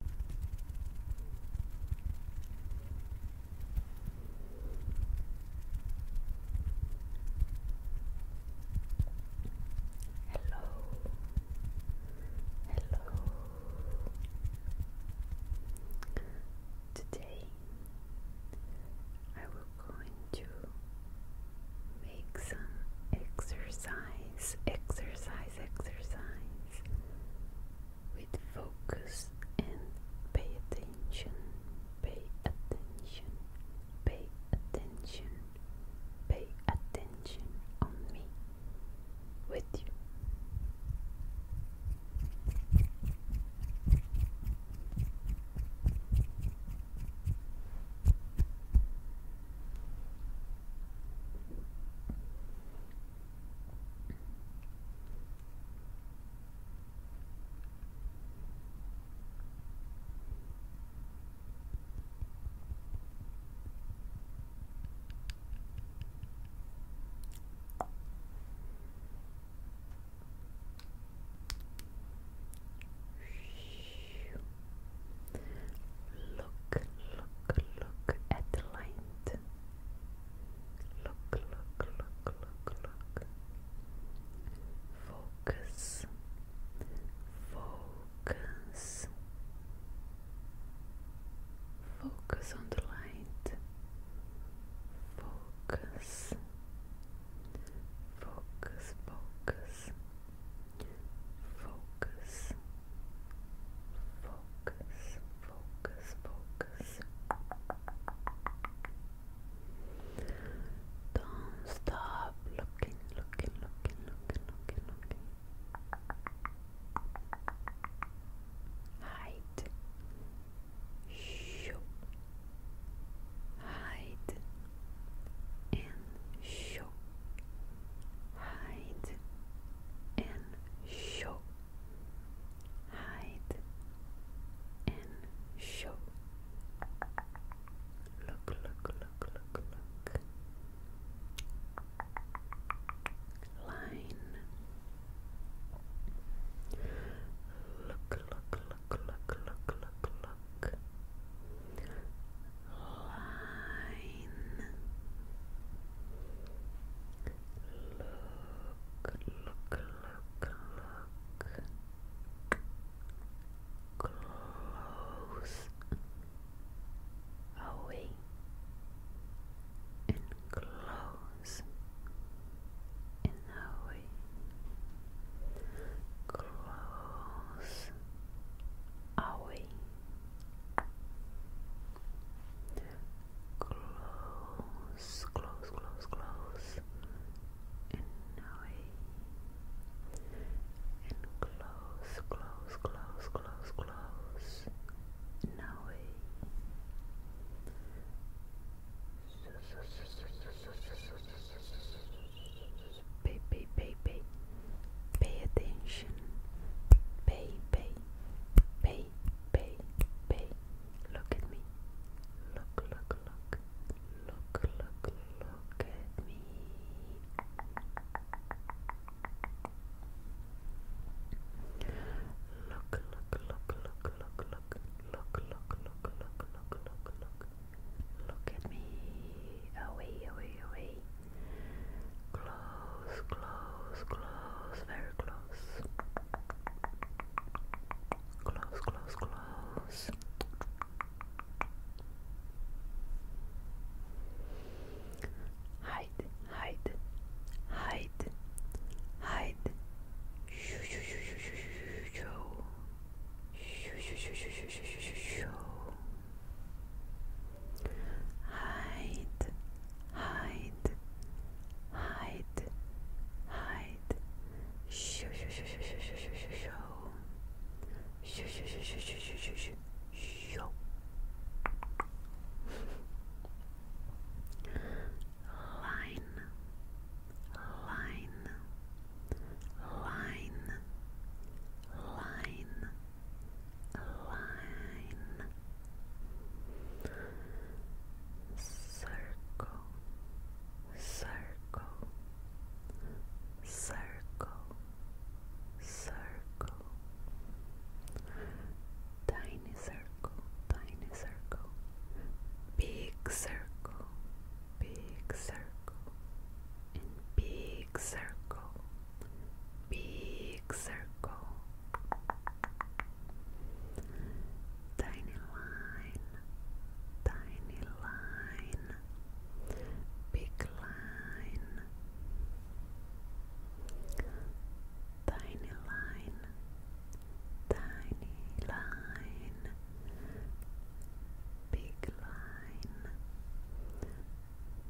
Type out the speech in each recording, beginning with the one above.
Hello, hello. Today I will going to make some exercise, exercise, exercise with focus and pay attention, pay attention, pay attention, pay attention on me with you. Look, look, look at the light. Look, look, look, look, look. Focus, focus, focus on the light. Focus, focus, focus, focus. Focus, focus, focus. Don't stop looking, looking, looking, looking, looking, looking. Hide. Shoop. Hide. And shoop. Hide. And shoop hide and show. Look, look, look, look, look. Line. Look, look, look, look, look, look, look. Line. Look, look, look, look. Close away and close and away. Close away Close, close, close, close. And away. And close, close, close, close, close. And away. Pay, pay, pay, pay. Pay attention. Pay, pay, pay, pay, pay. Look at me. Look, look, look. Look, look, look at me. Look, look, look, look, look, look. Look, look, look, look, look, look, look. at me. Away, away, away. Close, close, close. Very close. Close, close, close. Hide, hide, hide, hide. Shoo, shoo, shoo, shoo, shoo, shoo, shoo. Shoo, shoo, shoo, shoo, Hide, hide, hide, hide, shoo shoo shoo shoo shoo shoo shoo shoo shoo shoo shoo shoo shoo shoo shoo shoo shoo line, line, line, line, line circle, circle, circle, circle, tiny circle, tiny circle, big circle, big circle, big circle, big circle. Tiny line, tiny line, big line, tiny line, tiny line, big line,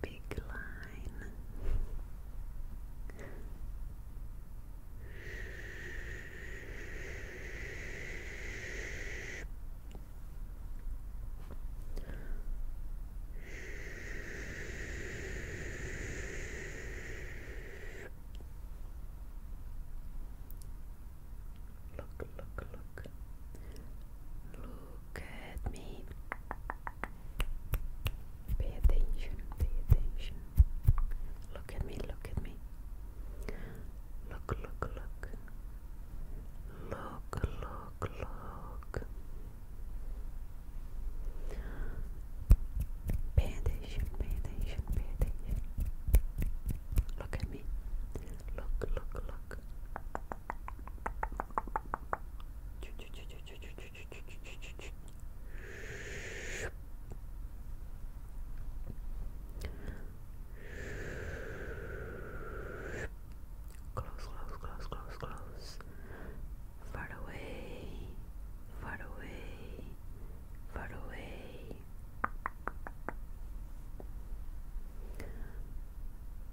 big line. Look, look, look. Look at me. Pay attention, pay attention. Look at me, look at me. Look, look, look. Look, look, look. Pay attention, pay attention, pay attention. Look at me. Look, look, look. Choo, choo, choo, choo, Close, close, close, close, close. Far away, far away, far away.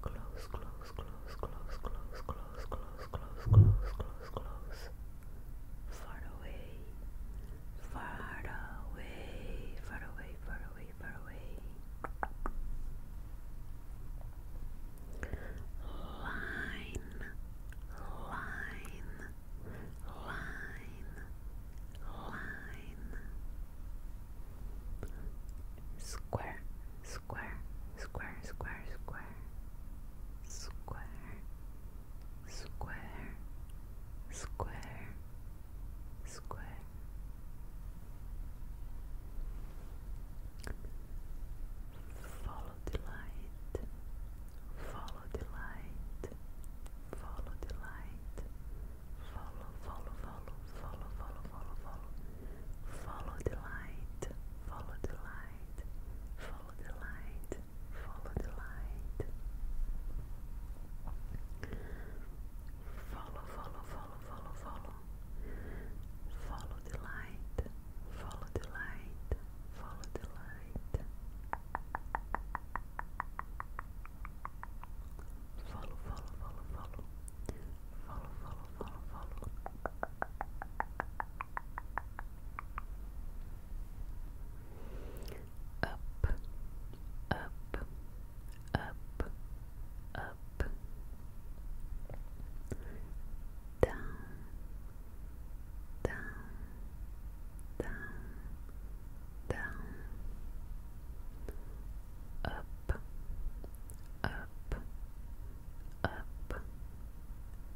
Close, close, close, close, close, close, close, close, close, close, close. Far away, far away, far away, far away, far away. Line, line, line, line. Square, square, square, square, square, square, square, square, square. Follow the light, follow the light, follow the light, follow, follow, follow, follow, follow, follow, follow, follow the light, follow the light, follow the light, Follow the light. Follow, follow, follow, follow, follow. Follow the light. Follow the light. Follow the light. Follow, follow, follow, follow. Follow, follow, follow, follow up, up, up, up, down, down, down, down, up, up, up,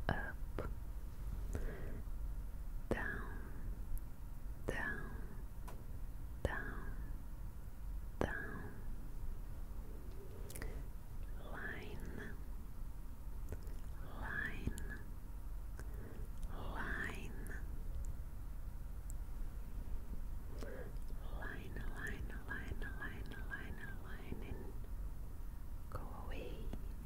up, down, down, down, down, line, line, line, line, line, line, line, line, line, go away.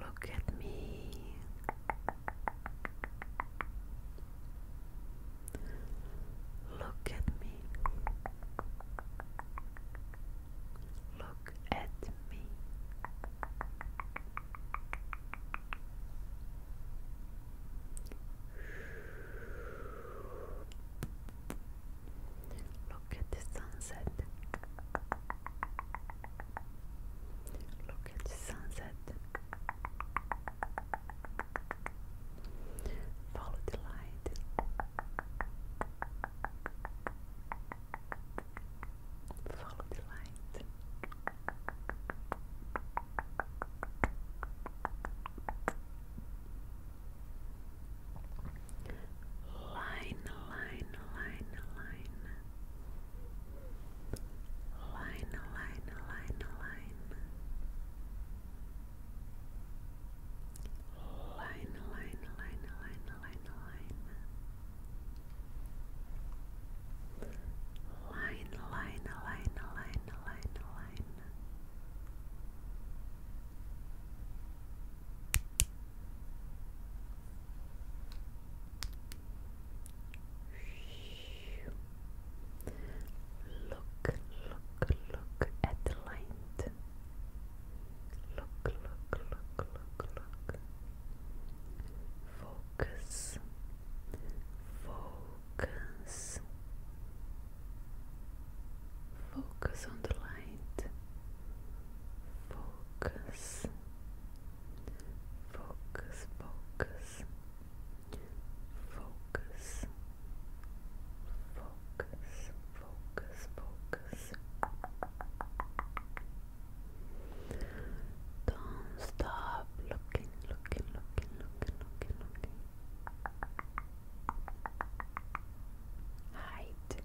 Look at me. Look at me. Look at me. Look at the sunset. Look at the sunset. Follow the light. Follow the light. Line, line, line, line. Line, line, line, line. Line, line, line, line, line, line. Line, line, line, line, line, line. Line, Look, look, look at the light. Look, look, look, look, look. Focus, focus, focus on the light. Focus, focus, focus, focus, focus, focus, focus. Don't stop looking, looking, looking, looking, looking, looking. Hide,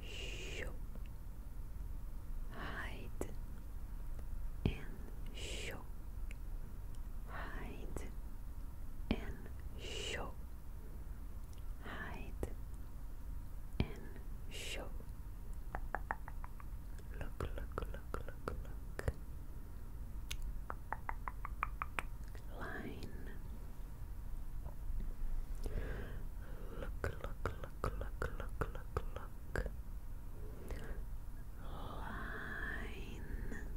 show hide and show hide and show hide and show look look look look look line look look look, look, look, look, look. Line. Look,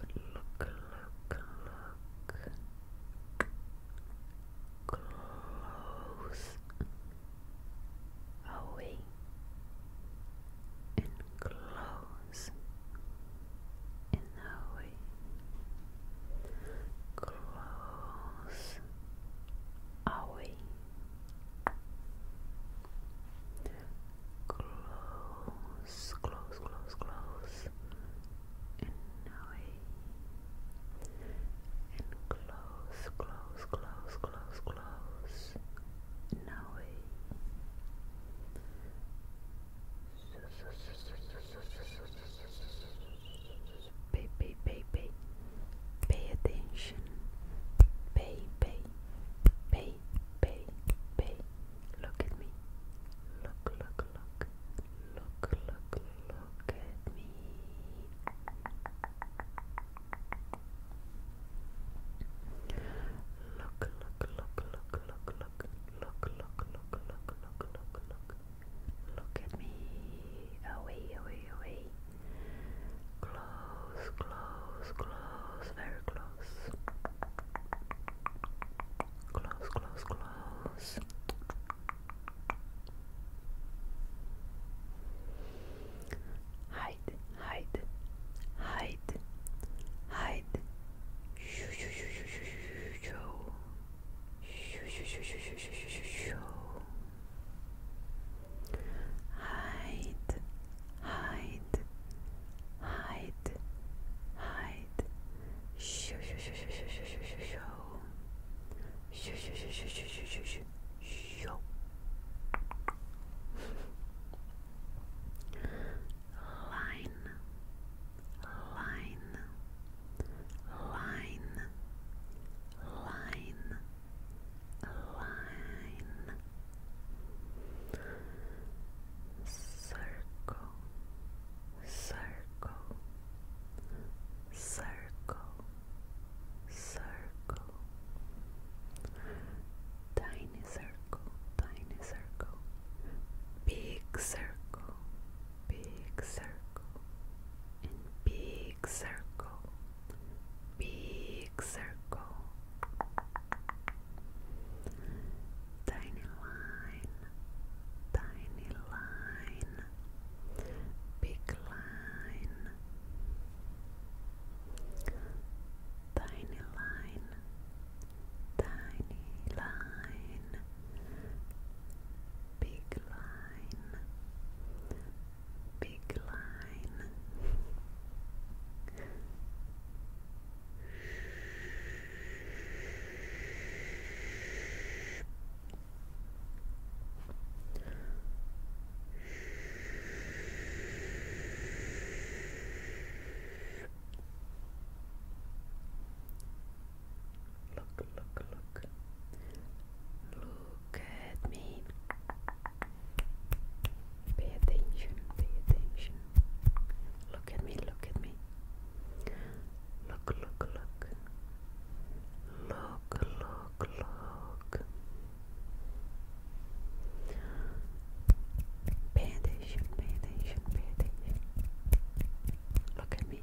look, look, look. Close away and close in a way. Close away. Close, close, close, close. In away. And close, close, close, close, close. In away. Pay, pay, pay, attention. Pay, pay, pay, Look at me. Look, look, look. Look, look, look at me. look, look, look, look, look, look, look, look, look, look, look, look. Look at me. Away, away, away. Close, close, close, very close. Close, close, close. Hide, hide, hide, hide. Shoo, shoo, shoo, shoo, shoo, shoo, Hide, hide, hide, hide. Shoo, shoo, shoo, shoo, shoo, shoo, shoo, shoo. Shoo, shoo, shoo, shoo, shoo, shoo, shoo, shoo. Shoo. Line, line, line, line, line, circle, circle, circle, circle, tiny circle, tiny circle, big circle big circle big circle, big circle, tiny line, tiny line, big line, tiny line, tiny line. Big line, big line. Look, look, look. Look at me. Pay attention, pay attention. Look at me, look at me. Look, look, look. Look, look, look. Pay attention, pay attention, pay attention. Look at me.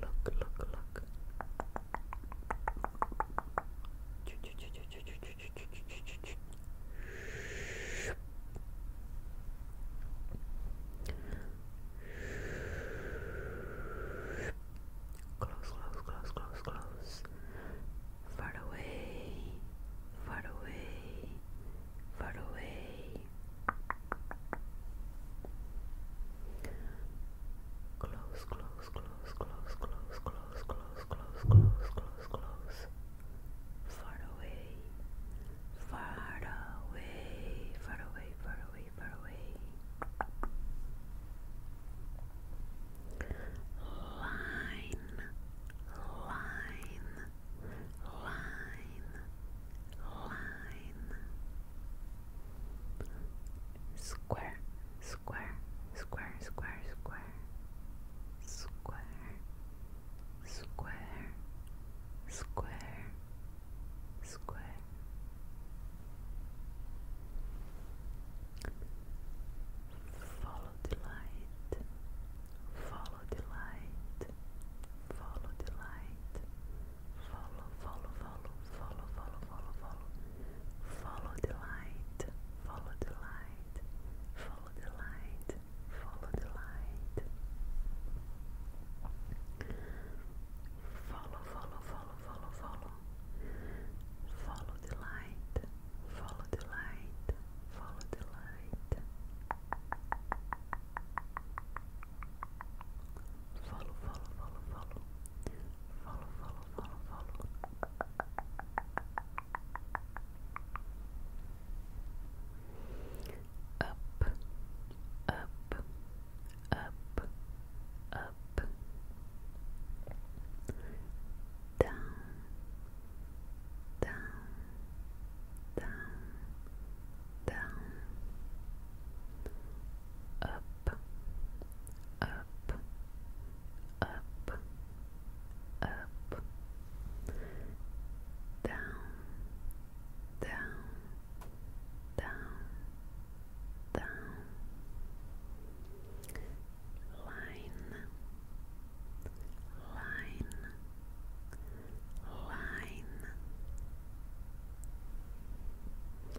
Look, look, look rock. Close, close, close, close, close. Far away, far away, far away. Close, close, close, close, close, close, close, close, close, close, close. Far away, far away, far away, far away, far away. Line, line, line, line. Square, square, square, square, square, square, square, square, square. Follow the light, follow the light, follow the light follow, follow, follow, follow, follow, follow, follow, follow the light, follow the light, follow the light, follow the light, follow, follow, follow, follow, follow, follow the light, follow the light, follow the light. Follow the light. Follow, follow, follow, follow. Follow, follow, follow, follow. Up, up, up, up. Down, down, down, down. Up up, up, up, down, down, down, down, line, line, line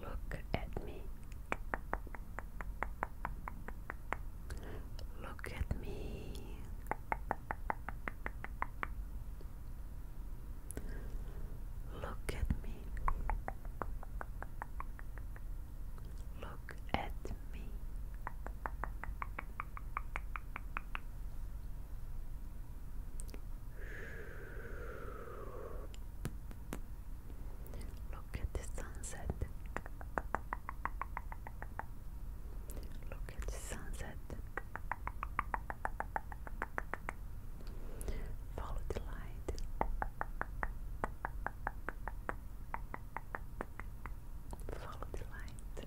Look at me. Look at me. Look at me. Look at me. Look at the sunset. Look at the sunset. Follow the light. Follow the light.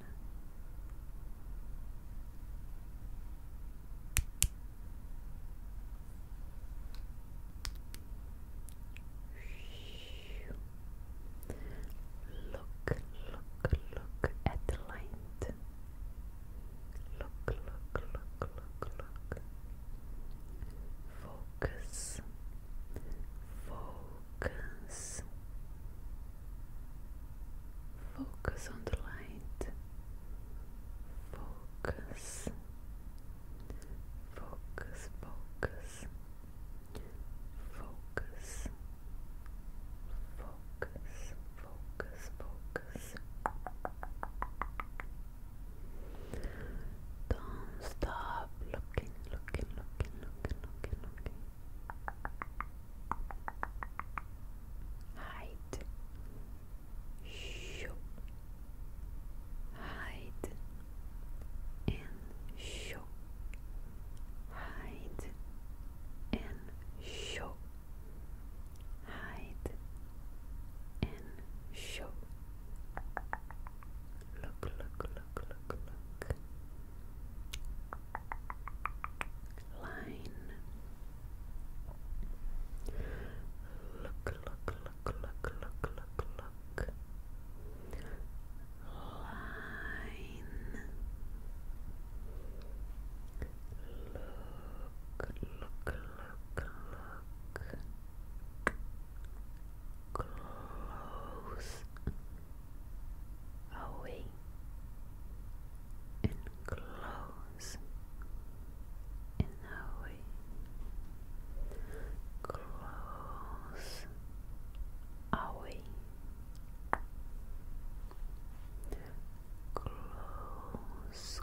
Look, look, look at the light. Look, look, look, look, look. Focus, focus, Focus on the light. Focus. Focus, focus. Focus. Focus, focus, focus. Don't stop looking, looking, looking, looking, looking, looking hide show hide and show hide and show hide and show look look look look look line. Look, look, look, look, look, look, look. Line. Look, look, look, look. Close away and close and away close away close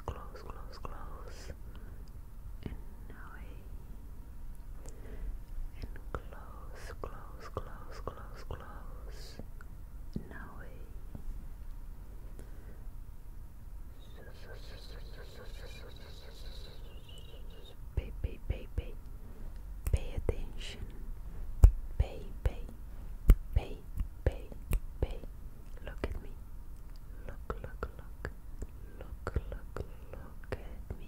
close close close and away and close close close close close no way. Pay, pay, pay, pay. Pay attention. Pay, pay, pay, pay, pay. Look at me. Look, look, look. Look, look, look at me.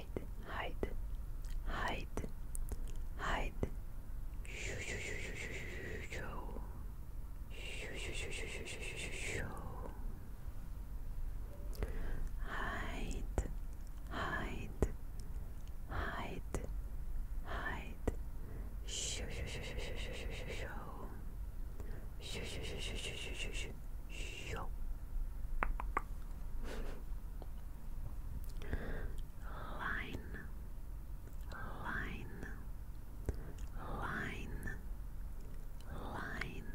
hide, hide, hide, hide. Shoo, shoo, shoo, shoo, shoo, shoo. Shoo, shoo, shoo, shoo, shoo, shoo, shoo, shoo. Hide, hide, hide, hide. Shoo, shoo, shoo, shoo, shoo, shoo, shoo, shoo. Shoo, shoo, shoo, shoo, shoo, shoo, shoo, Line, line, line, line, line.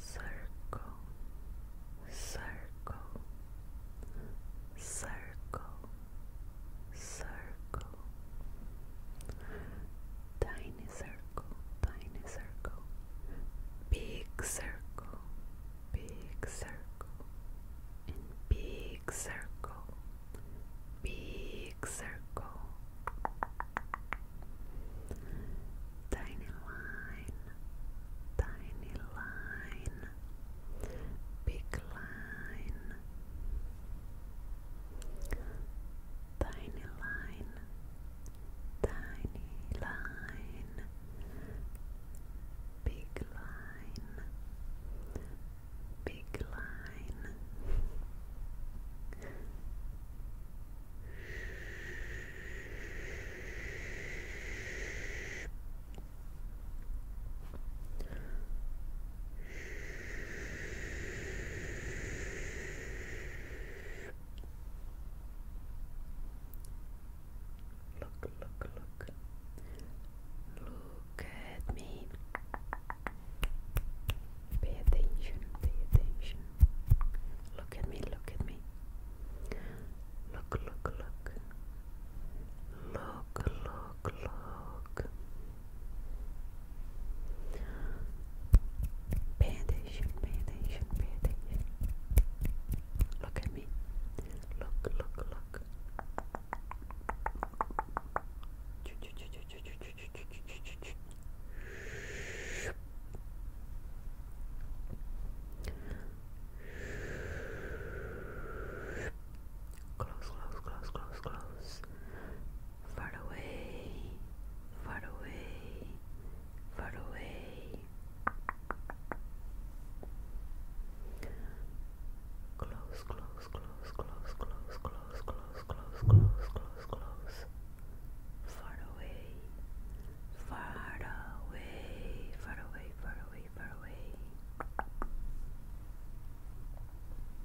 Circle, circle, circle, circle, circle, tiny circle, tiny circle, big circle, big circle, big circle, big circle, tiny line, tiny line, big line tiny line, tiny line, big line, big line. Look, look, look. Look at me. Pay attention, pay attention. Look at me, look at me. Look, look, look. Look, look, look. Pay attention, pay Look at me. Look, look, look. Close, close, close, close, close far away, far away, far away. Close, close, close, close, close, close, close, close, close, close, close. Far away, far away, far away, far away, far away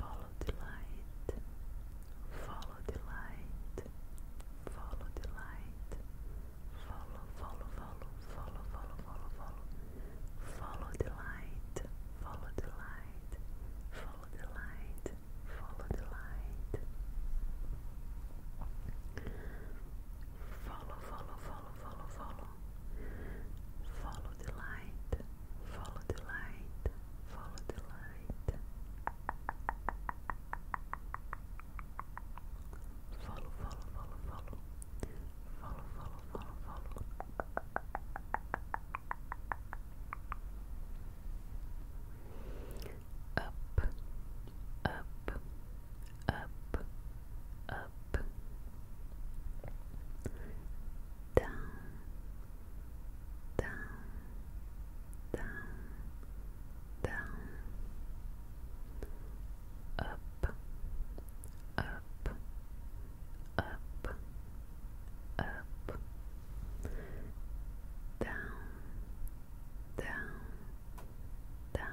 Follow the light. Follow the light. Follow the light. Follow, follow, follow, follow, follow, follow, follow. Follow the light. Follow the light. Follow the light. Follow the light. Follow, follow, follow, follow, follow. Follow the light. Follow the light. Follow the light. Follow, follow, follow, follow. Follow, follow, follow, follow. Up, up, up, up. down, down, down, up, up, up, up, down, down, down, down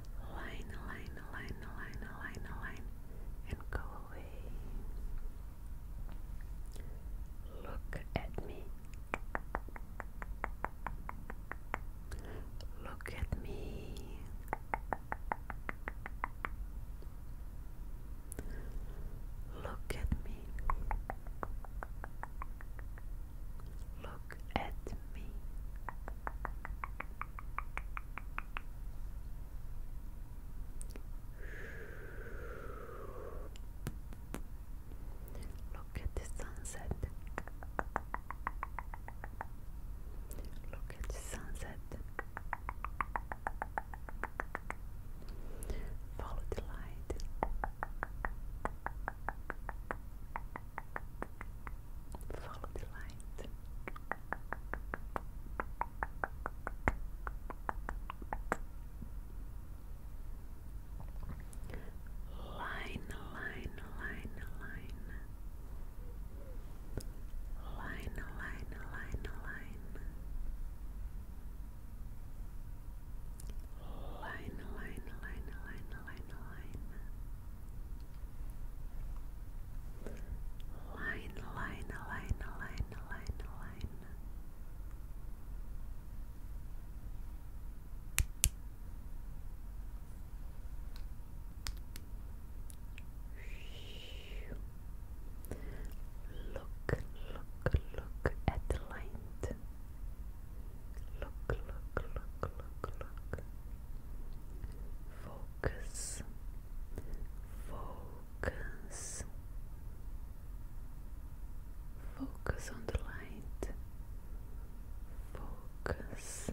line, line, line, line, line, line, and go away. Look at me. Look at me. Look at me. Look look at me. Look at the sunset. Look at the sunset. Follow the light. Follow the light. Line, line, line, line. Line, line, line, line. Line, line, line, line, line, line, line, line, line, line. Look, look, look at the light. Look, look, look, look, look focus, focus, focus on the light, focus,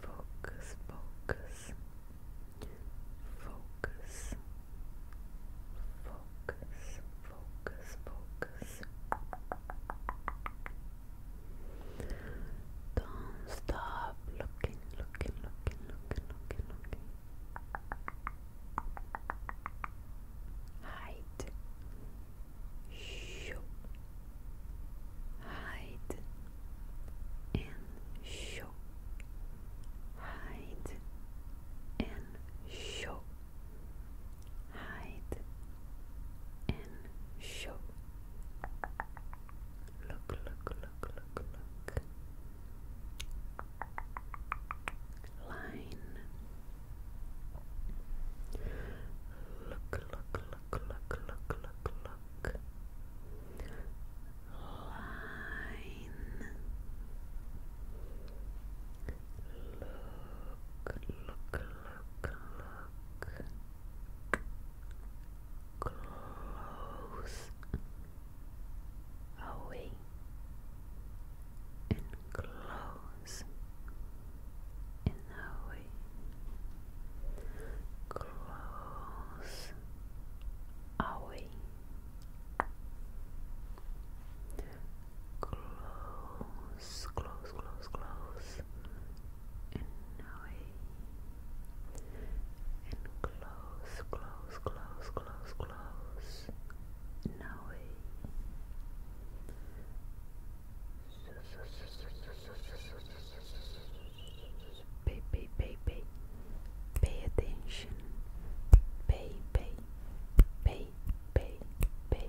focus, focus, focus. Focus, focus, focus. Don't stop looking, looking, looking, looking, looking, looking. Hide. Show. Hide. And show. Hide. And show hide and show. Look, look, look, look, look. Line. Look, look, look, look, look, look, look. Line. Look, look, close away and close and away, close away, close, close, close, close away and close, close, close, close, close, and away. Pay, pay, pay, pay, pay attention. Pay, pay, pay, pay, pay,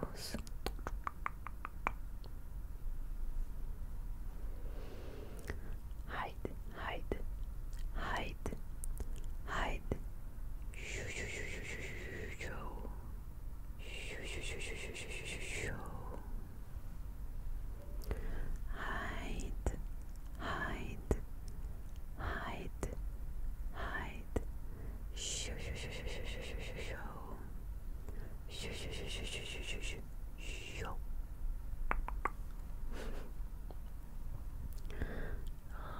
close. Hide, hide, hide, hide. Shoo, shoo, shoo, shoo, shoo, shoo, shoo, shoo, shoo, shoo, shoo, shoo, shoo. Hide, hide, hide, hide, Shoo shoo shoo shoo shoo shoo shoo shoo shoo shoo shoo shoo shoo shoo shoo shoo shoo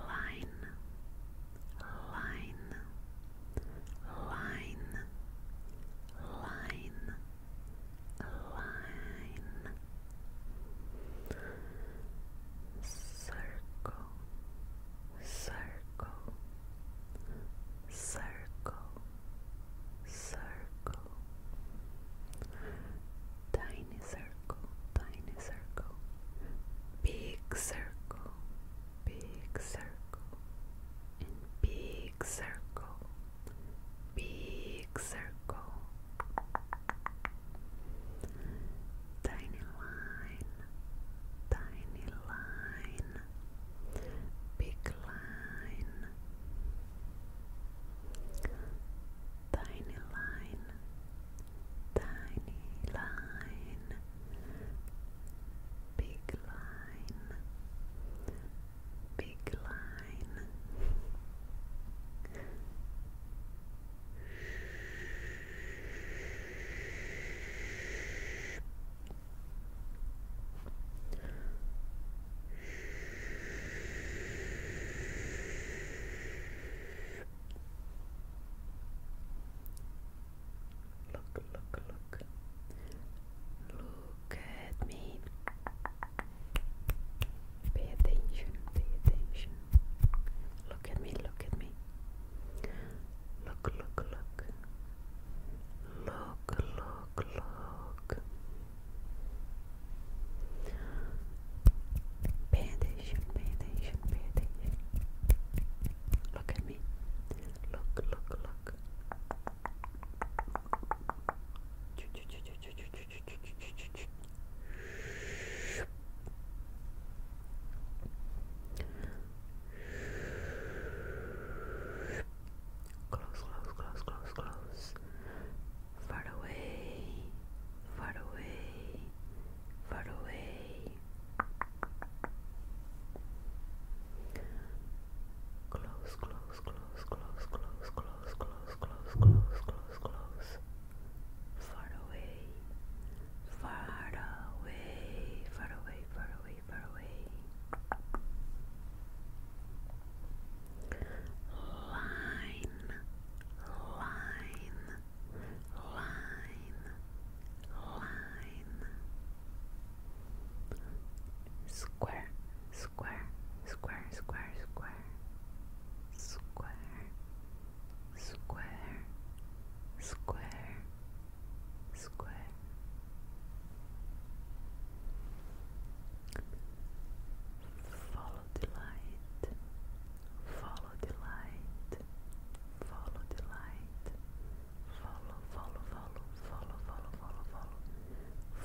line line line line line circle circle, circle, circle, tiny circle, tiny circle, big circle, big circle, big circle, big circle. Tiny line, tiny line, big line, tiny line, tiny line, big line, big line. Look, look, look. Look at me. Pay attention, pay attention. Look at me, look at me. Look, look, look. Look, look, look. Pay attention, pay attention, pay attention. Look at me. Look, look, look. Close, close, close, close, close. Far away, far away, far away. Close, close, close, close, close, close, close, close, close, close, close. Far away, far away, far away, far away, far away. Line, line, line, line. Square, square, square, square, square. Square, square, square, square. Follow the light, follow the light, follow the light, follow, follow, follow, follow, follow, follow, follow,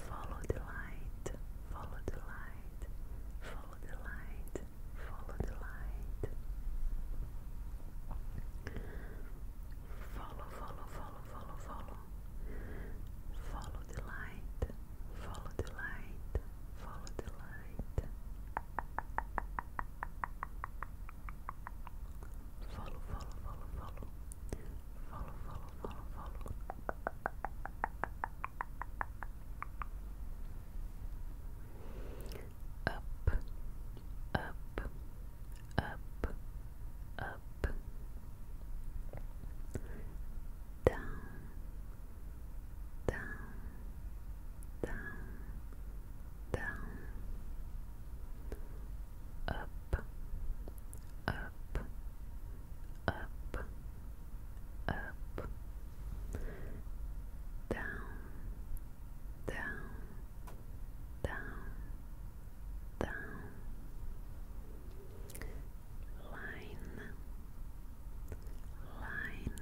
follow the light, follow the light, follow the light, follow the light. Follow, follow, follow, follow, follow. Follow the light. Follow the light. Follow the light. Follow, follow, follow, follow. Follow, follow, follow, follow up, up, up, up, down, down, down, down, up, up, up, up, down, down down, down, line, line, line, line,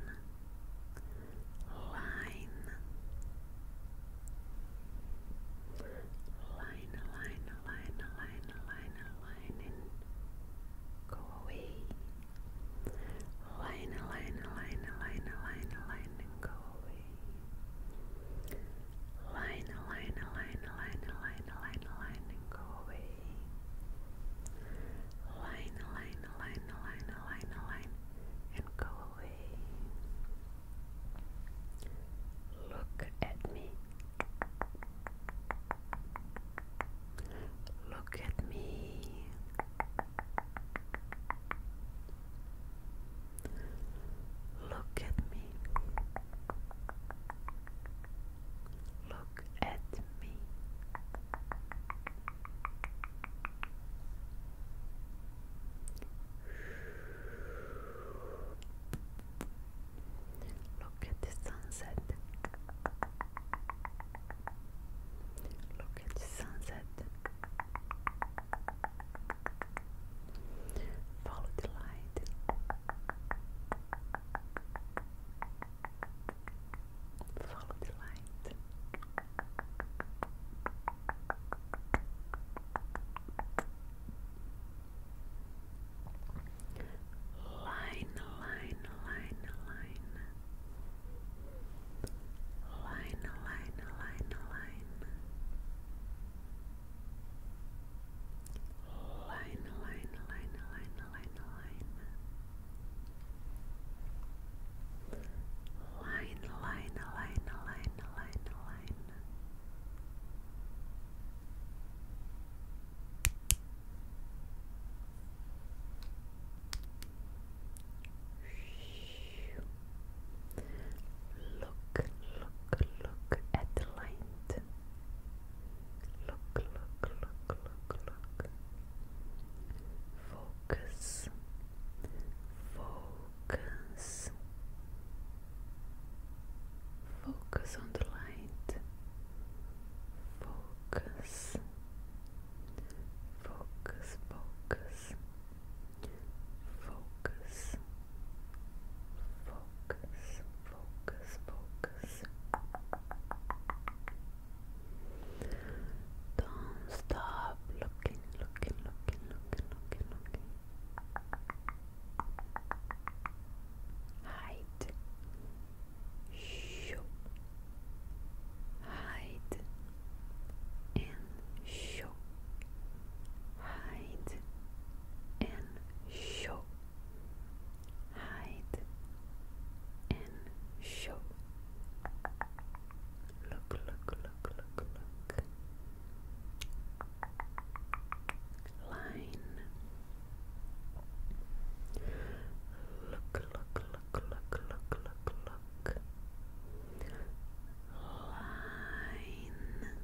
line, line, line, line, line, go away. Line, line, line, line, line, line, go away. Line, line, line, line, line, line, line, and go away. Line, line, line, line, line, line, and go away. Look at me. Look at me. Look at me. Look at me. Look at the sunset. Look at the sunset. Follow the light. Follow the light. Line, line, line, line line, line, line, line, line, line, line, line, line, line, line, line, line, line, line, line. Look, look, look at the light. Look, look, look, look, look. Focus, focus, focus on the light. Focus, focus, focus. Focus. Focus. Focus. Focus. Don't stop looking, looking, looking, looking, looking, looking. Hide. Show. Hide. And show hide and show, hide and show. Look, look, look, look, look. Line. Look, look, look, look, look, look, look line look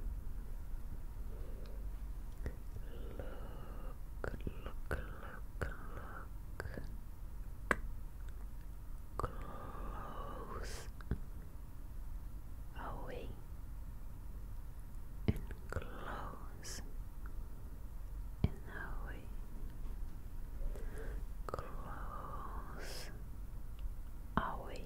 look look look close away and close and away close away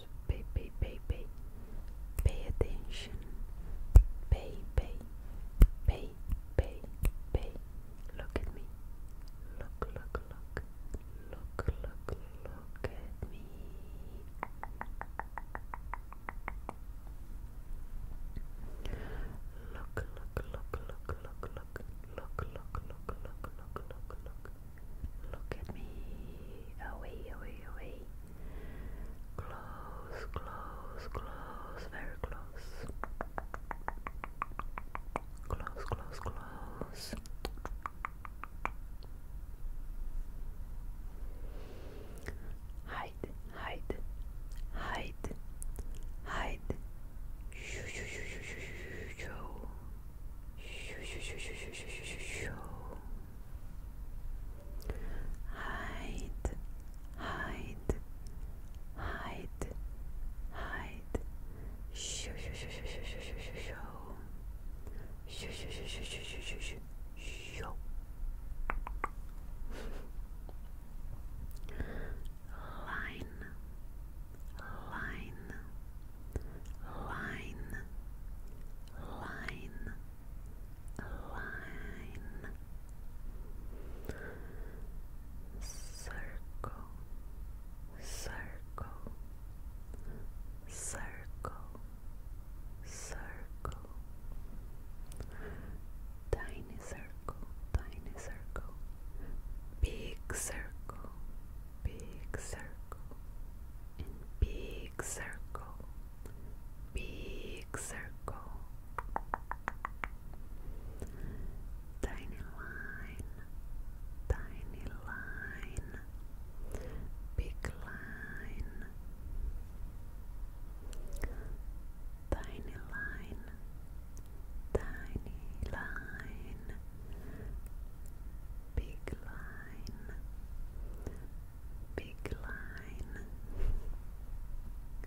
pay, pay, pay, pay, attention, pay, pay, pay, pay, pay. Look at me, look, look, look, look, look, Look, look, look, look, look, look, look, look, look, look, look, look, look. Look at me. Away, away, away. Close, close, close, very close. Close, close, close. Hide, hide, hide, hide. Shoo, shoo, shoo, shoo, shoo, shoo, shoo. Shoo, shoo, shoo, shoo, shoo, hide hide hide hide shoo shoo shoo shoo shoo shoo shoo shoo shoo shoo shoo shoo shoo shoo shoo shoo line line line line line, circle, circle, circle, circle, tiny circle, tiny circle, big circle, big circle, and big big circle, big circle, tiny line, tiny line, big line, tiny line, tiny line. Big line, big line.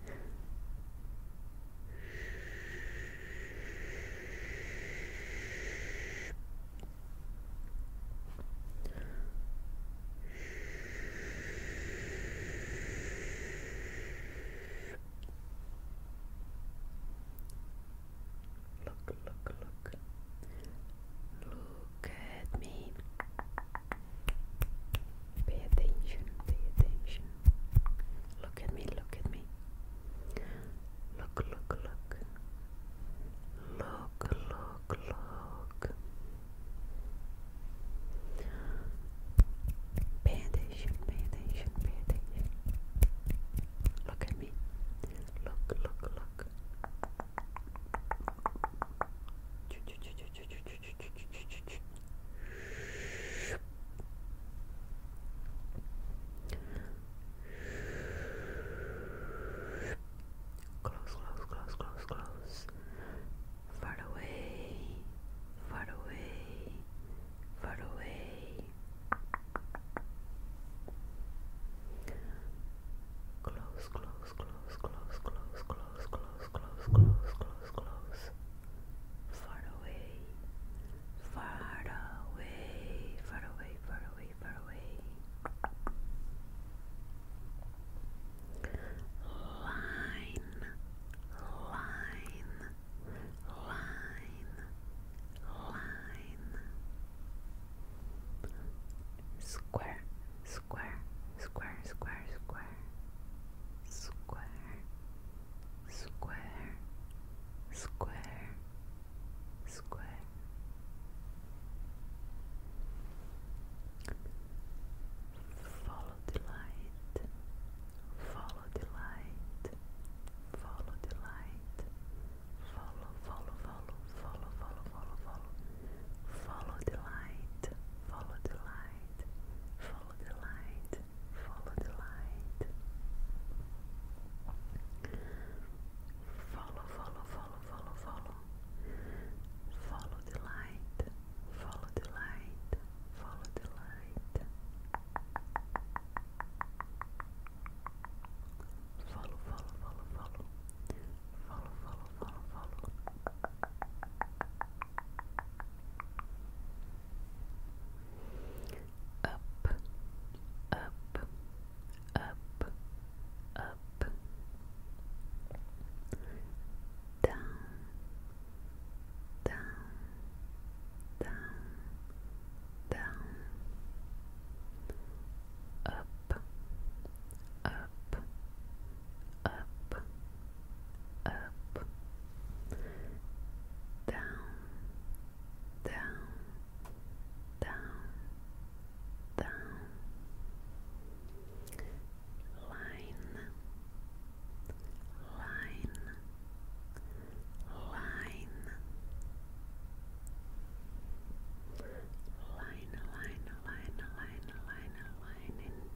Look, look, look. Look at me. Pay attention, pay attention. Look at me, look at me. Look, look, look. Look, look, look. Pay attention, pay attention, pay attention. Look at me. Look, look, look. Ch -ch -ch -ch Close, close, close, close, close. Far away, far away, far away. Close, close, close, close, close, close, close, close, close, close, close, close. Far away, far away, far away, far away, far away. Line, line, line, line. square, square, square, square, square, square, square, square, square. Follow the light, follow the light, follow the light, follow, follow, follow, follow, follow, follow, follow. Follow the light, follow the light, follow the light, follow the light. Follow, follow, follow, follow, follow. Follow the light, follow the light, follow the light. Follow, follow, follow, follow. Follow, follow, Up, up, up, up. Down, down, down, down. up, up, up, up, down, down, down, down, line, line, line. Line, line, line, line, line, line,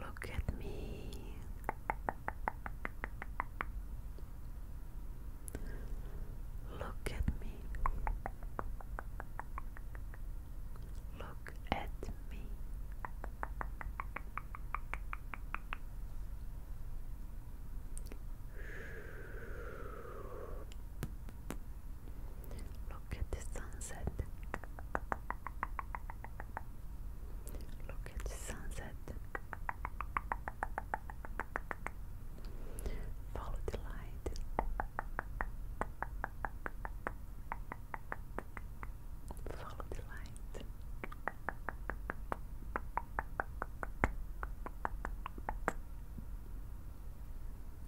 Look at me. Look at me. Look at me. Look at the sunset. Look at the sunset. Follow the light. Follow the light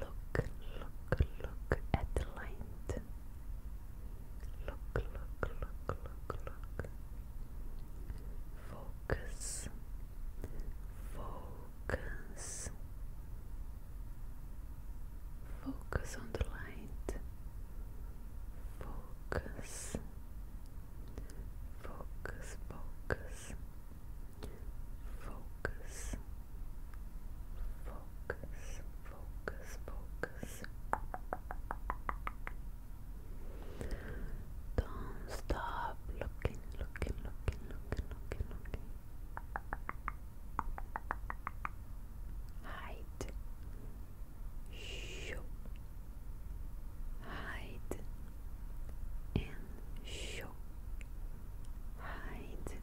Look, look, look at the light. Look, look, look, look, look. Focus, focus, focus on the light focus, focus, focus, focus, focus, focus, focus. Don't stop looking, looking, looking, looking, looking, looking. Hide, show, hide and show, hide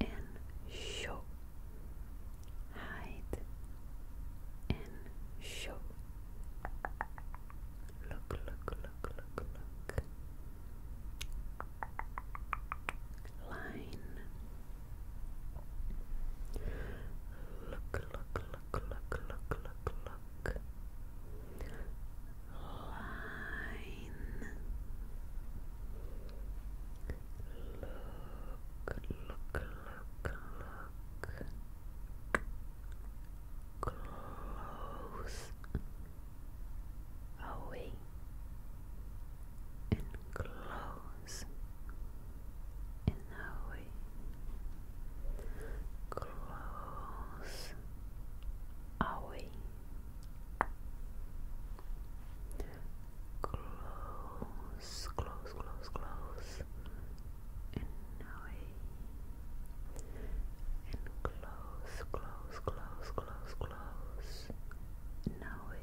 and show, hide and show. Look, look, look, look, look. Line, Look, look, look, look, look, look, Line. Look, look, look, look. Close. Away and close in Howie. Close Howie. Close, close, close, close in Howie. And close, close, close, close, close. Now,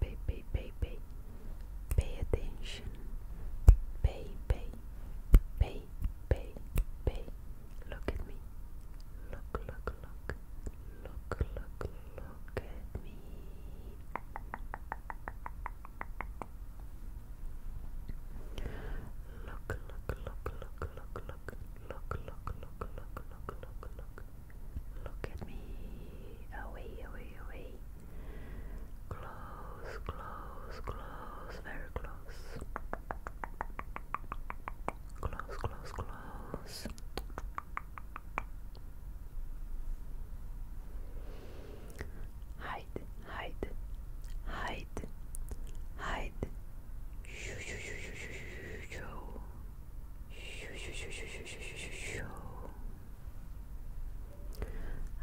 Pay, pay, pay, attention. Pay, pay, pay, pay, Look at me. Look, look, look. Look, look, look at me. Look, look, look, look, look, look look, look, look, look, look, look, look, look. at me. Away, away, away. Close, close, close, very close. Close, close, close. Hide, hide, hide, hide,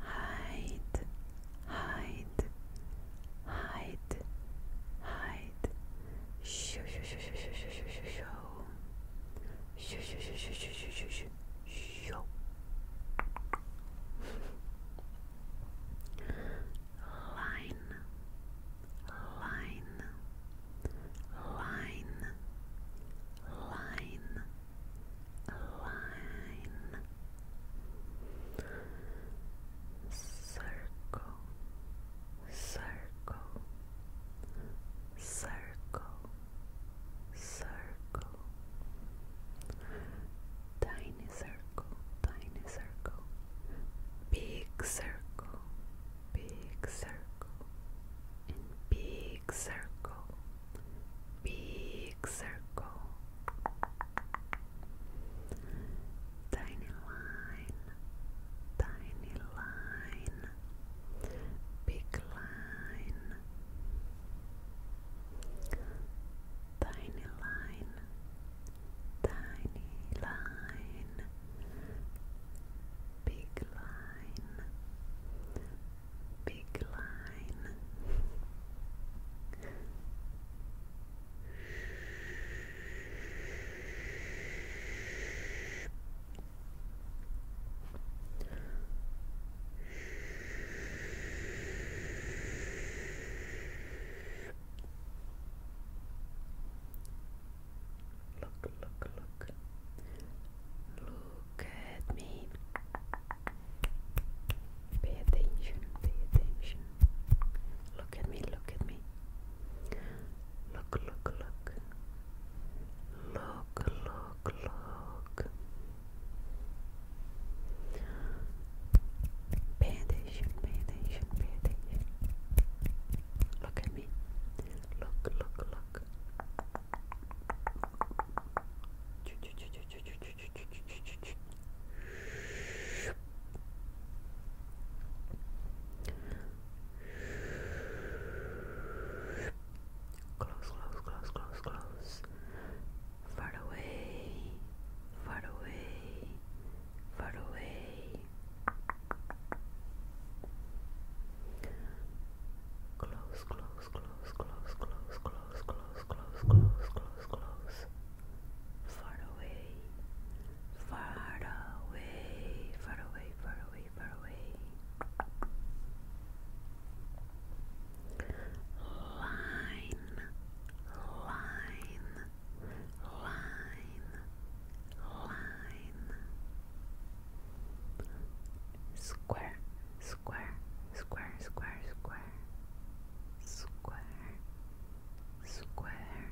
hide hide hide hide shoo shoo shoo shoo shoo shoo shoo shoo shoo shoo shoo shoo shoo shoo shoo line line, line, line, line, circle, circle, circle, circle, tiny circle tiny circle, big circle, big circle, big circle, big circle, tiny line, tiny line, big line. Tiny line, tiny line, big line, big line. Look, look, look. Look at me. Pay attention, pay attention. Look at me, look at me. Look, look, look. Look, look, look. Pay attention, pay Look at me. Look, look, look. Close, close, close, close, close. Far away, far away, far away, close, close, close, close, close, close, close, close, close, close, close, far away, far away, far away, far away, far away. Line, line, line, line, square, square, square, square, square, square, square,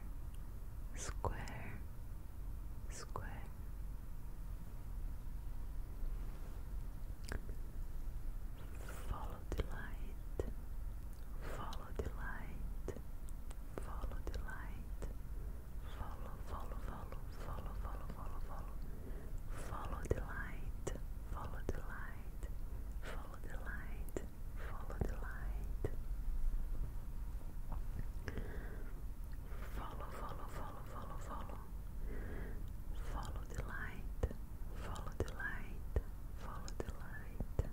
square, square. Follow the light. Follow the light. Follow the light. Follow, follow, follow, follow, follow, follow, follow. Follow the light. Follow the light. Follow the light. Follow the light. Follow, follow, follow, follow, follow. Follow the light. Follow the light. Follow the light.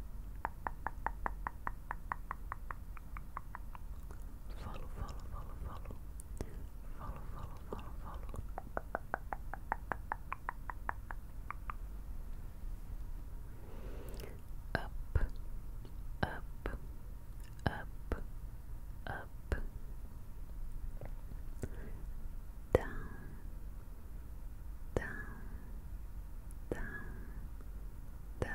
Follow, follow, follow, follow. Follow, follow, follow, follow. Up, up, up, up. Down, down, down down,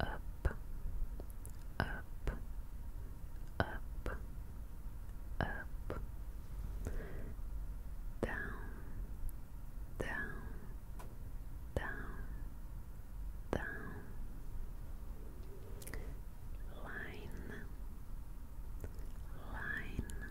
up, up, up, up, down, down, down, down, line, line,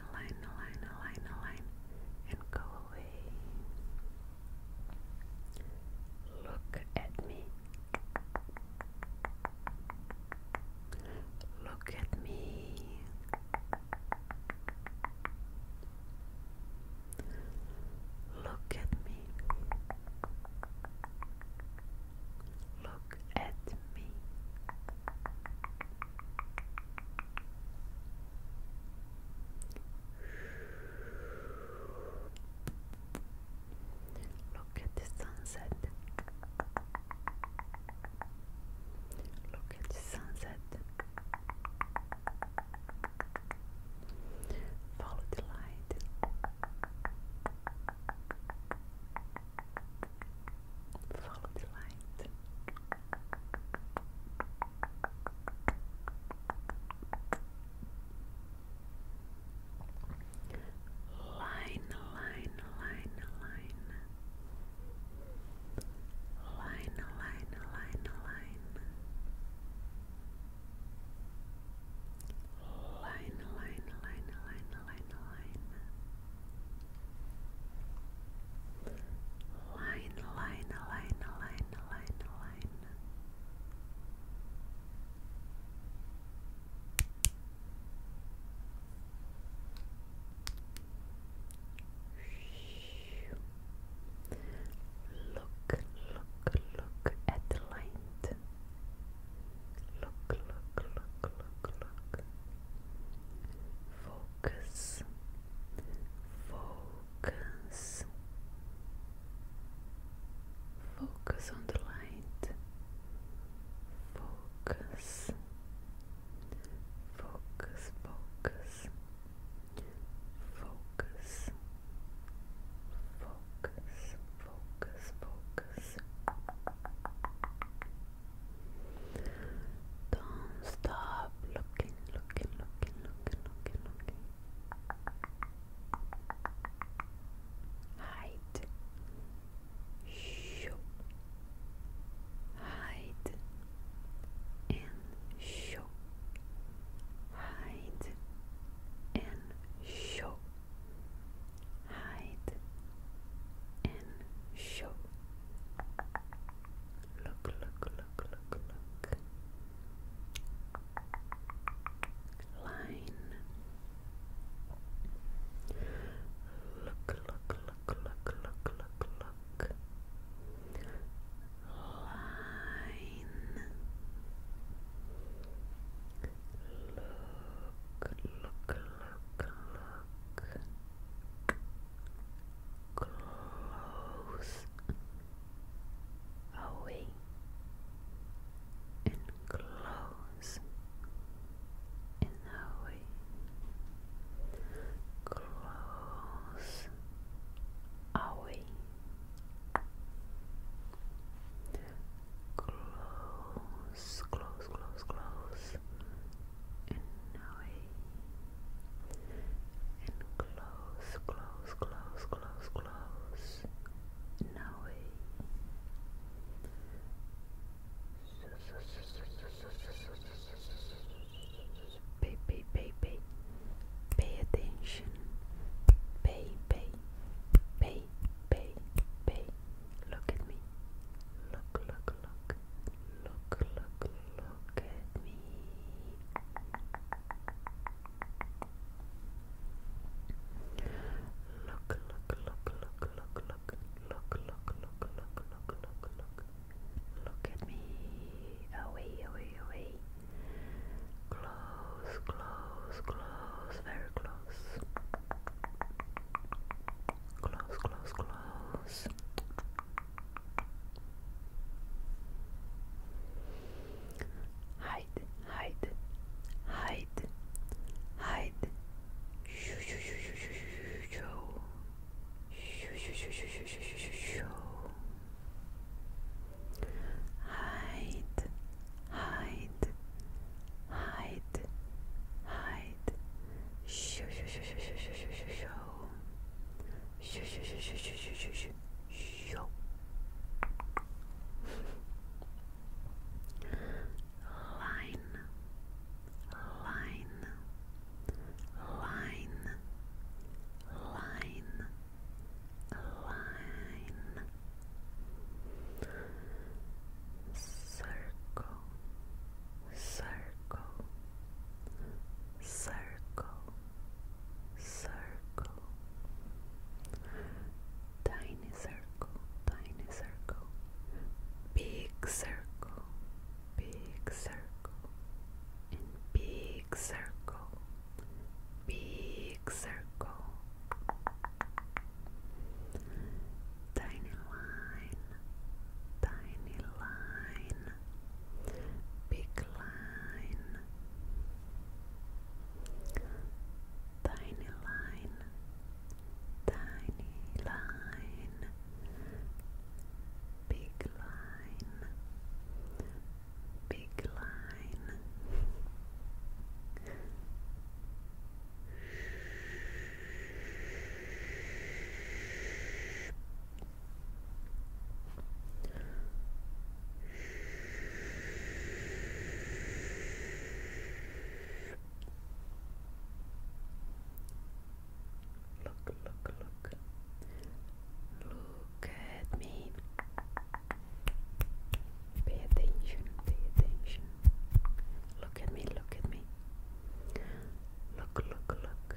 align, align, align, align, align, and go away. Look at me. Look at me. Look at me. Look at me. Look at the sunset. Look at the sunset. Follow the light. Follow the light. Line, line, line, line. Line, line, line, line. Line, line, line, line, line, line. Line, line, line, line, line, line. Look, look, look at the light. Look, look, look, look, look focus, focus, focus on the light, focus, focus, focus, focus. Focus, focus, focus. Don't stop, Hide. Show. Hide. And show. Hide. And show. Hide. And show. Look, look, look, look, look. Line. Look, look, look, look, look, look, Line. Look, look, look, look close away and close and away close away close close close close and away and close, close, close, close, close. Now way. Pay, pay, attention. Pay, pay, pay, pay, Look at me. Look, look, look. Look, look, look at me. Look, look, look, look, look, look, look, look, look, look, look, look, look. at me. Away, away, away. Close, close, close, very close. Close, close, close hide, hide, hide, hide. Shoo, shoo, shoo, shoo, shoo, shoo, shoo, shoo, shoo, shoo, shoo, shoo, shoo, shoo. Hide, hide, hide, hide. Shoo, shoo, shoo, shoo, shoo, shoo, shoo, shoo. Shoo, shoo, shoo, shoo, shoo, shoo, shoo, shoo. Line, line, line, line, line. Circle, circle, circle, circle, tiny circle, tiny circle, big circle, big circle, big circle, big circle, tiny line, tiny line big line, tiny line, tiny line, big line, big line. Look, look, look. Look at me. Pay attention, pay attention. Look at me, look at me. Look, look, look.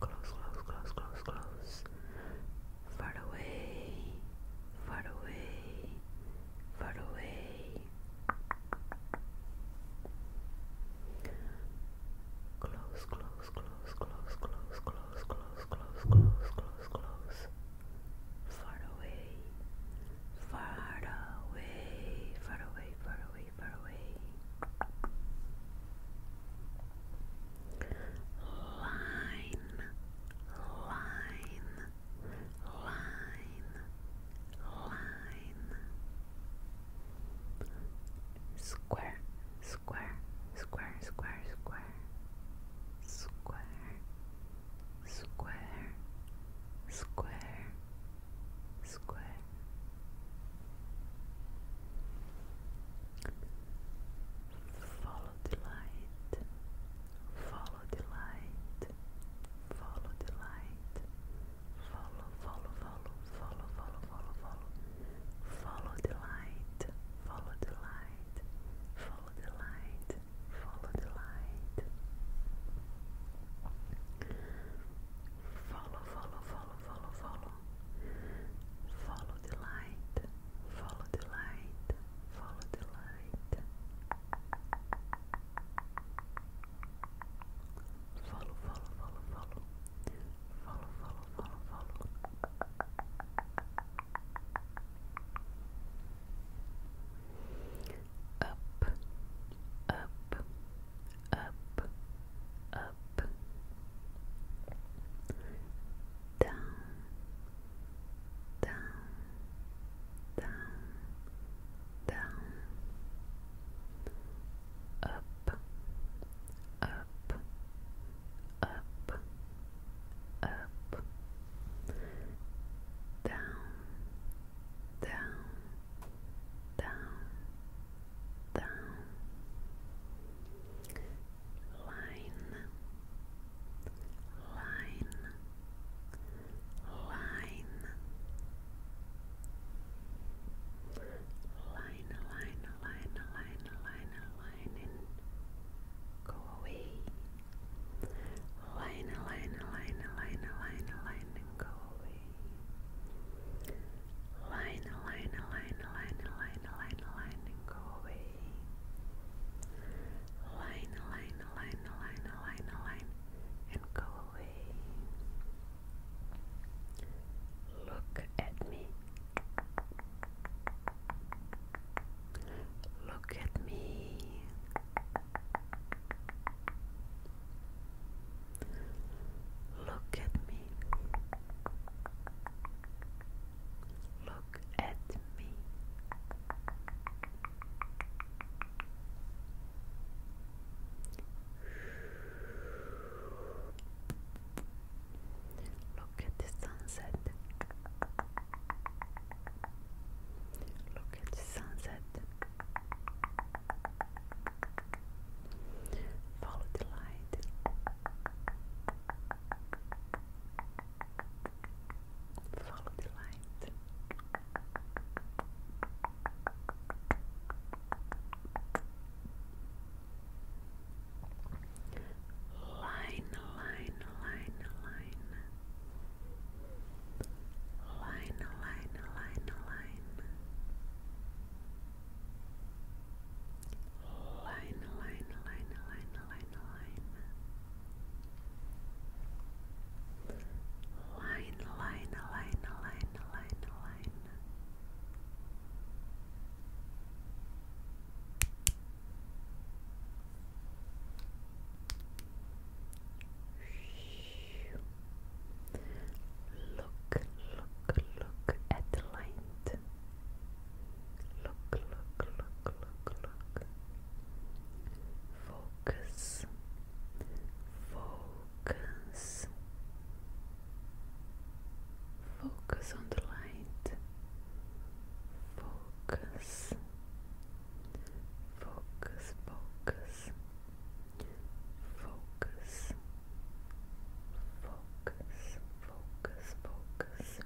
Close, close, close, close, close. Far away, far away, far away. Close, close, close, close, close, close, close, close, close, close, close. Far away, far away, far away, far away. Line, line, line, line. Square, square, square, square, square. Square, square, square, square. Follow the light, follow the light, follow the light, follow, follow, follow, follow, follow, follow, follow, follow the light, follow the light, follow the light, follow the light. Follow, follow, follow, follow, follow, follow. Follow the light, follow the light, follow the light. Follow, follow, follow, follow. Follow, follow, follow, follow. Up, up, up, up, up, down, down, down, down, up, up, up, up, down, down, down, the line, line, line, line, line, line, line, line, line, and go away. Line, line, line, line, line, line, go away. Line, line, line, line, line, line, line, and go away. Line, line, line, line, line, line, and go away. Look at me. Look at me. Look at me. Look at me. Look at the sunset. Look at the sunset. Follow the light. Follow the light. Line, line, line, line. Line, line, line, line. Line, line, line, line, line, line. Line, line, line, line, line, line. Look, look, look at the lines. Look, look, look, look, look. Focus, focus, focus on the light. Focus, focus, focus, focus, focus focus, focus.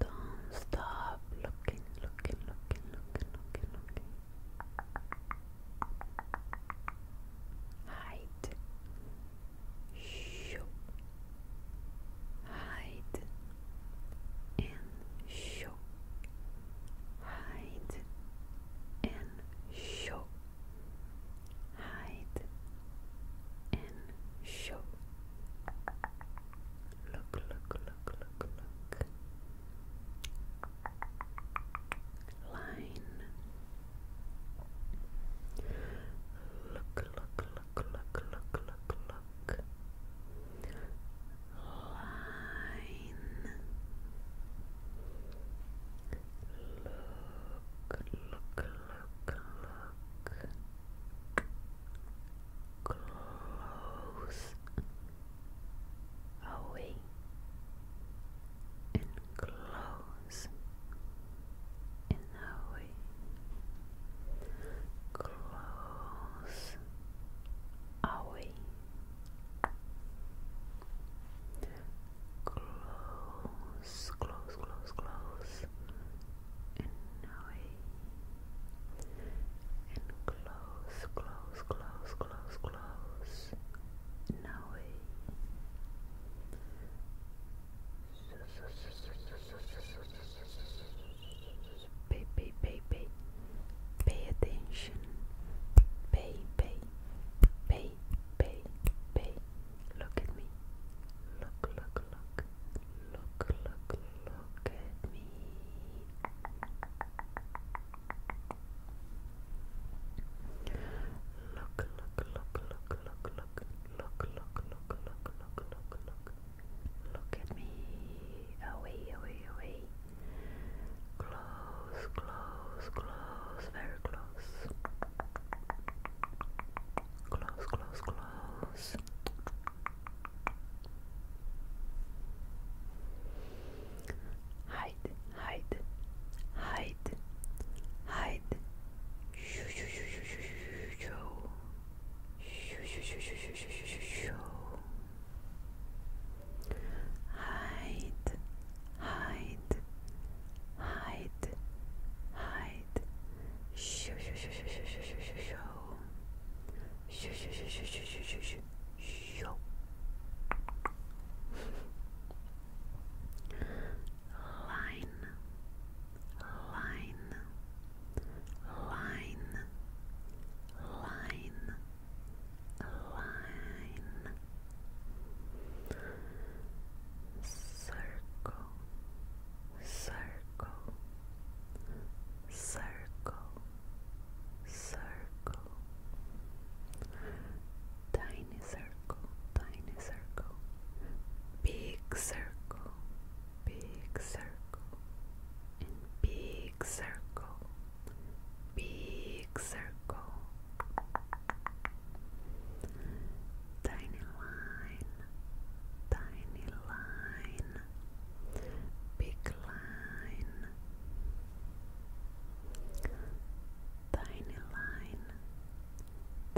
Don't stop looking, looking, looking, looking, looking, looking. Hide. Show. Hide. And show. Hide. And show hide and show. Look, look, look, look, look. Line. Look, look, look, look, look, look, Line. Look, look, look, look. Close away and close and away. Close away close, close, close, close, and away, and close, close, close, close, close, and away. Pay, pay, pay, attention, pay, pay, pay, Look at me. Look, look, look. Look, look, look at me. Look, look, look, look, look, look. Look, look, look, look, look, look, look. at me. Away, away, away close, close, close, very close. Close, close, close. Hide, hide, hide, hide. Shoo, shoo, shoo, shoo, shoo, shoo, shoo. Shoo, shoo, shoo, shoo, Hide, hide, hide, hide, hide. Shoo shoo shoo shoo shoo shoo shoo shoo shoo. Shoo shoo shoo shoo shoo shoo shoo shoo. Shoo. Line, line, line, line, line circle, circle, circle, circle, tiny circle, tiny circle, big circle, big circle, big circle, big circle. Tiny line, tiny line, big line, tiny line,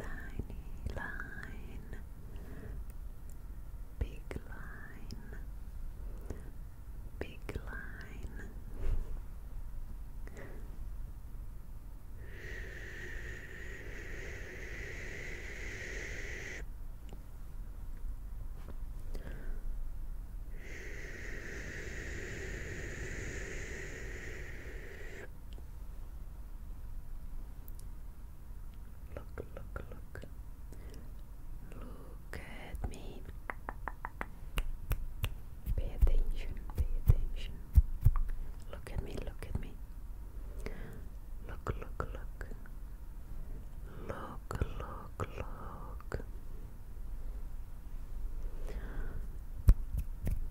tiny line, big line, big line. Look, look, look. Look at me. Pay attention, pay attention. Look at me, look at me. Look, look, look. Look, look, look.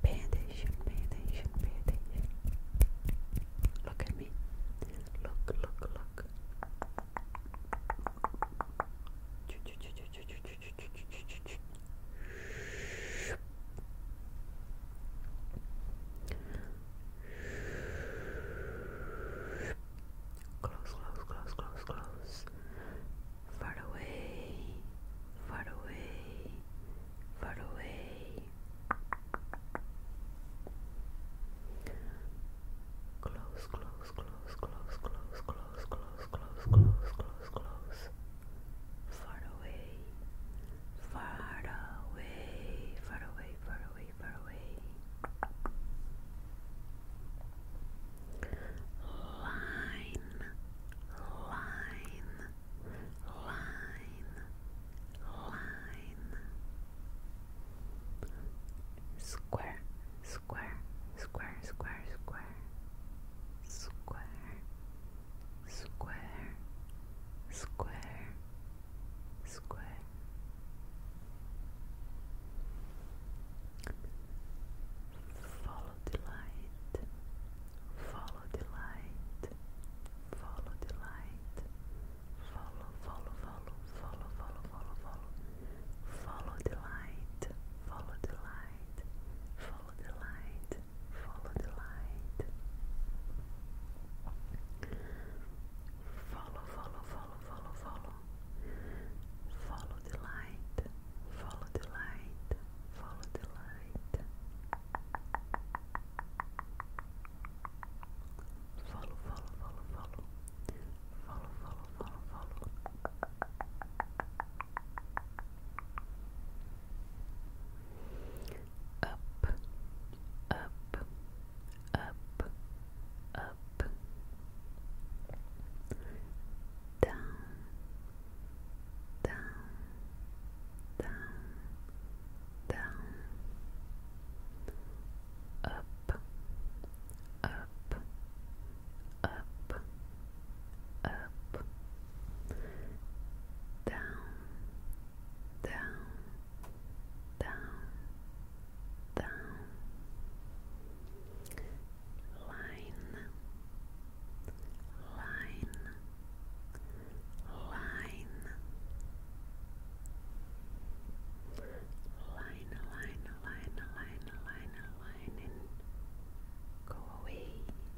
Pay attention, pay attention, pay attention. Look at me. Look, look, look. Choo, choo, choo, choo, choo, choo, Close, close, close, close, close. Far away, far away, far away. Close, close, close, close, close, close, close, close, close, close, close far away, far away, far away, far away, far away. Line, line, line, line. Square, square, square, square, square, square. Square, square, square, square. Follow the light, follow the light, follow the light, follow, follow, follow, follow, follow, follow, follow, follow the light, follow the light, follow the light, Follow the light. Follow, follow, follow, follow, follow. Follow the light. Follow the light. Follow the light. Follow, follow, follow, follow. Follow, follow, follow, follow up, up, up, up, down, down, down, down, up, up, up, up, down, down, down, down, line, line, line, line, line, line, line, line, line, and go away.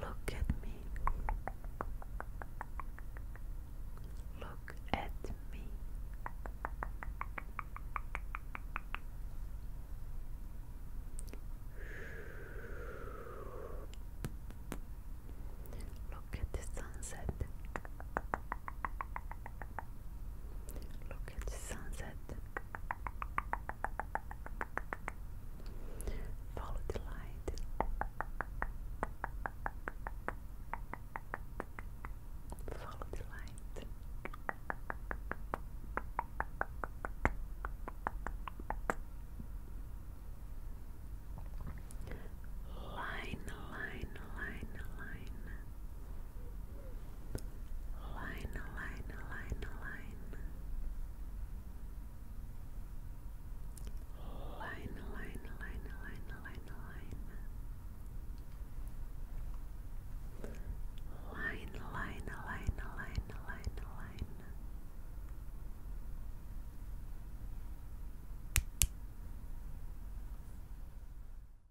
Look at me. Look at me. Look at the sunset. Look at the sunset. Follow the light. Follow the light. Line, line, line, line line, line, line, line, line, line, line, line, line, line, line, line, line, line, line, line.